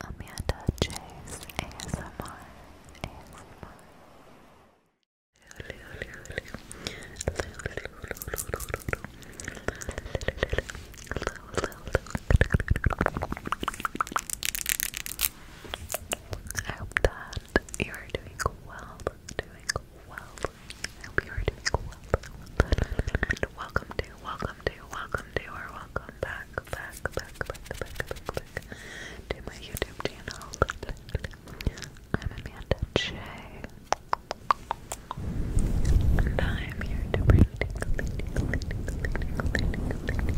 Amanda Chase ASMR I hope that you are doing well, doing well. I hope you are doing well and welcome to, welcome to, welcome to, or welcome back, back, back, back, back, back, back to my YouTube channel. I'm Amanda J. And I'm here to bring tickle, tickle, tickle, tickle,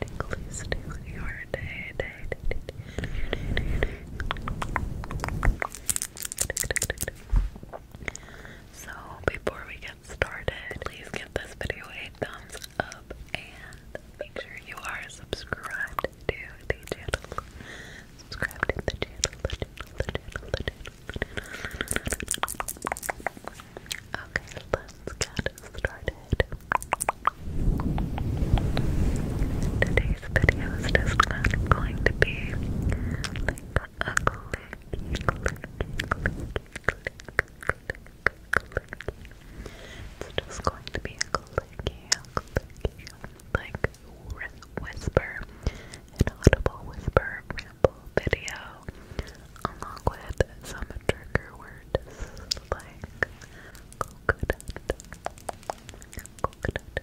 tickle, tickle, your day, day, day, day, day, day, day, day. So before we get started, please give this video a thumbs up and make sure you are subscribed to the channel. Subscribe to the channel, Okay, let's get started. Today's video is just going to be a click, It's just going to be a clicky, clicky, like whisper, an audible whisper ramble video, along with some trigger words like coconut, coconut,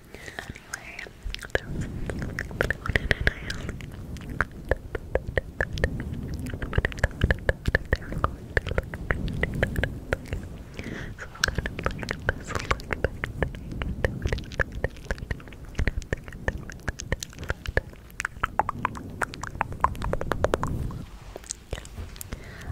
Anyway, that was what I wanted and I only they're going to look pretty So I'm kind of like this look back thing. Yeah.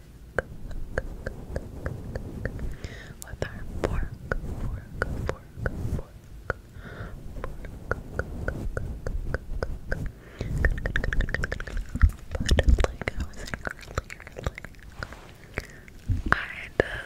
with our fork, fork, fork, fork. But like I was saying earlier, like I just I couldn't believe that.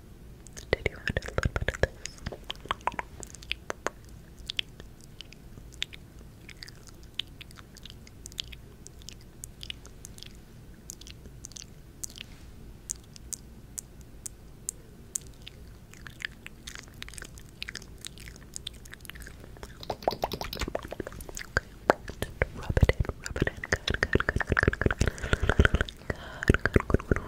Did you add a little bit of this? rub it in, rub it in, good, good, good, good, good, good, good Good, good, good, good.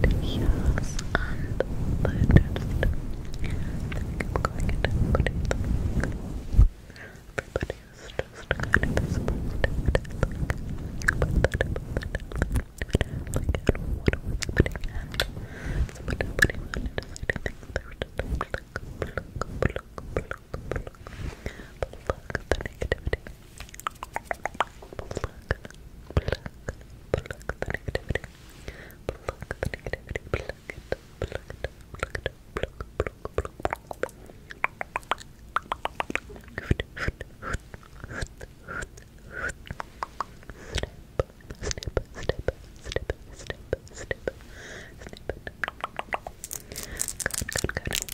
But yes, and the dentist. I think I'm going to put it Everybody is just kind of supposed to But that, but that, like, I don't know what was happening and somebody, somebody wanted to say, I think they were just like, pluck, pluck, pluck, pluck, Pluck, pluck the negativity. Pluck, pluck, pluck the negativity. Pluck the negativity. Pluck it, pluck it, pluck it, pluck, pluck, pluck. Hoot, hoot, hoot, hoot, hoot, hoot. Snip, snip, snip, snip, snip, snip, snip. Good, good, good.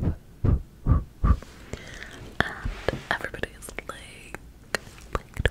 And everybody is like, Get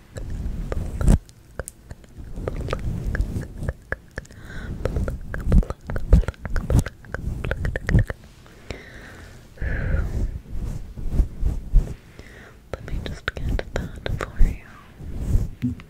Let me just get that for you. Perfect.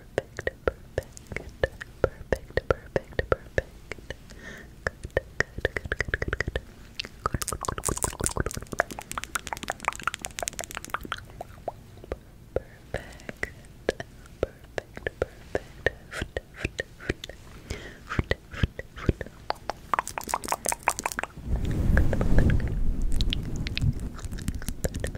perfect, perfect, perfect, perfect, perfect. Good, good, good, good, good, good. Perfect. Perfect, perfect. Good, good, good.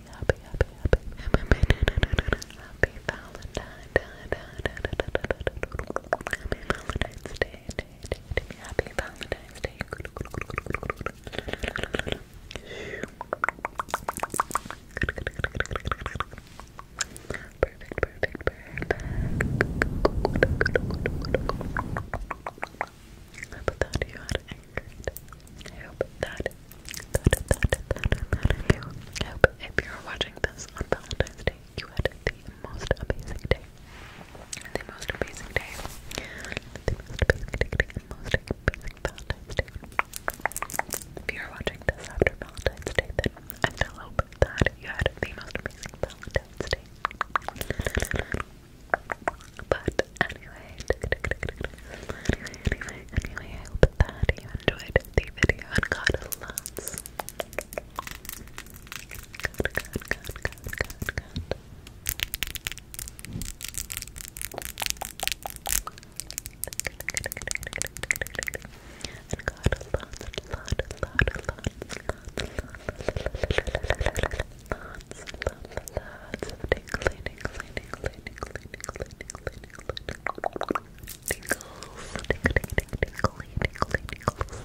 happy, happy, happy, happy, happy Valentine's Happy Valentine's Day, day, day, day. Happy Valentine's Day. Perfect, perfect, perfect. I hope that you are anchored. I hope that I hope if you're watching this on Valentine's Day, you had the most amazing day. The most amazing day. The most amazing day. most amazing Valentine's Day. If you're watching this after Valentine's Day, then I still hope that you had the most amazing Valentine's Day. But anyway, Anyway, anyway, I hope that you enjoyed the video and got lots. Tinkles, tinkle, tinkle, tinkle, tinkle, tinkles.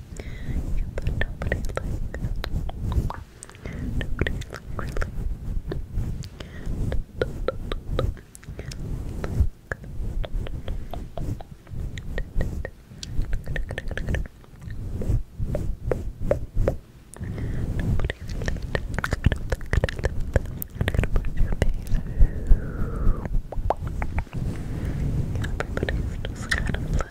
Yeah, but nobody like nobody like really Everybody's just kind of like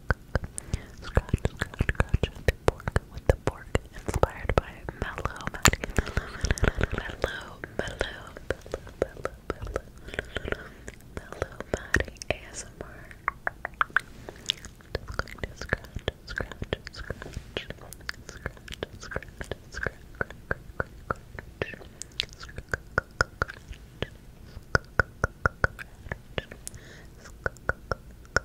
Scratch, scratch, scratch the pork with the pork inspired by Mellow, Maddie, Mellow, Mellow, Mellow, Mellow, Mellow, Mellow, Maddie ASMR. Just going to scratch, scratch, scratch, scratch, scratch, scratch, scratch, scratch, scratch, scratch,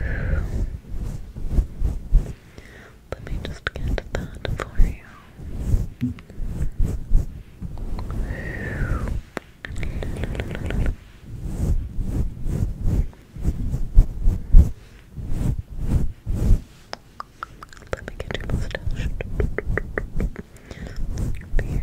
Let me just get that for you. Let me get your mustache. Beard.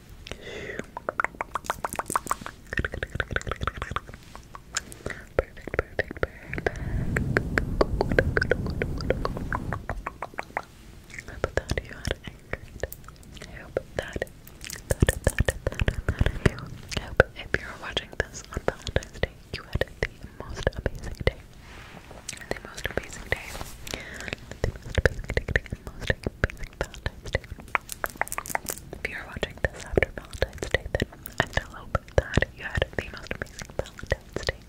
Perfect, I hope that you had a great you, I hope if you're watching this on Valentine's Day, you had the most amazing day the most basic day. The most basic the most basic Valentine's Day. If you're watching this after Valentine's Day, then I hope that you had the most amazing Valentine's Day.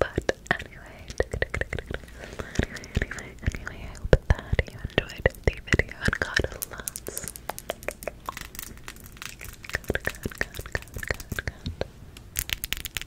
But anyway, anyway, anyway, I hope that you enjoyed the video and got lots.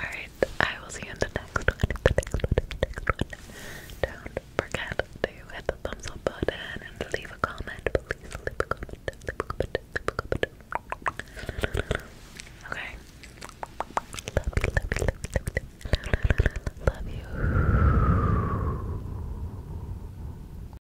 Alright, I will see you in the next one. Don't forget to hit the thumbs up button and leave a comment. Please leave a comment. Love you, love you, love you, love you. Love you.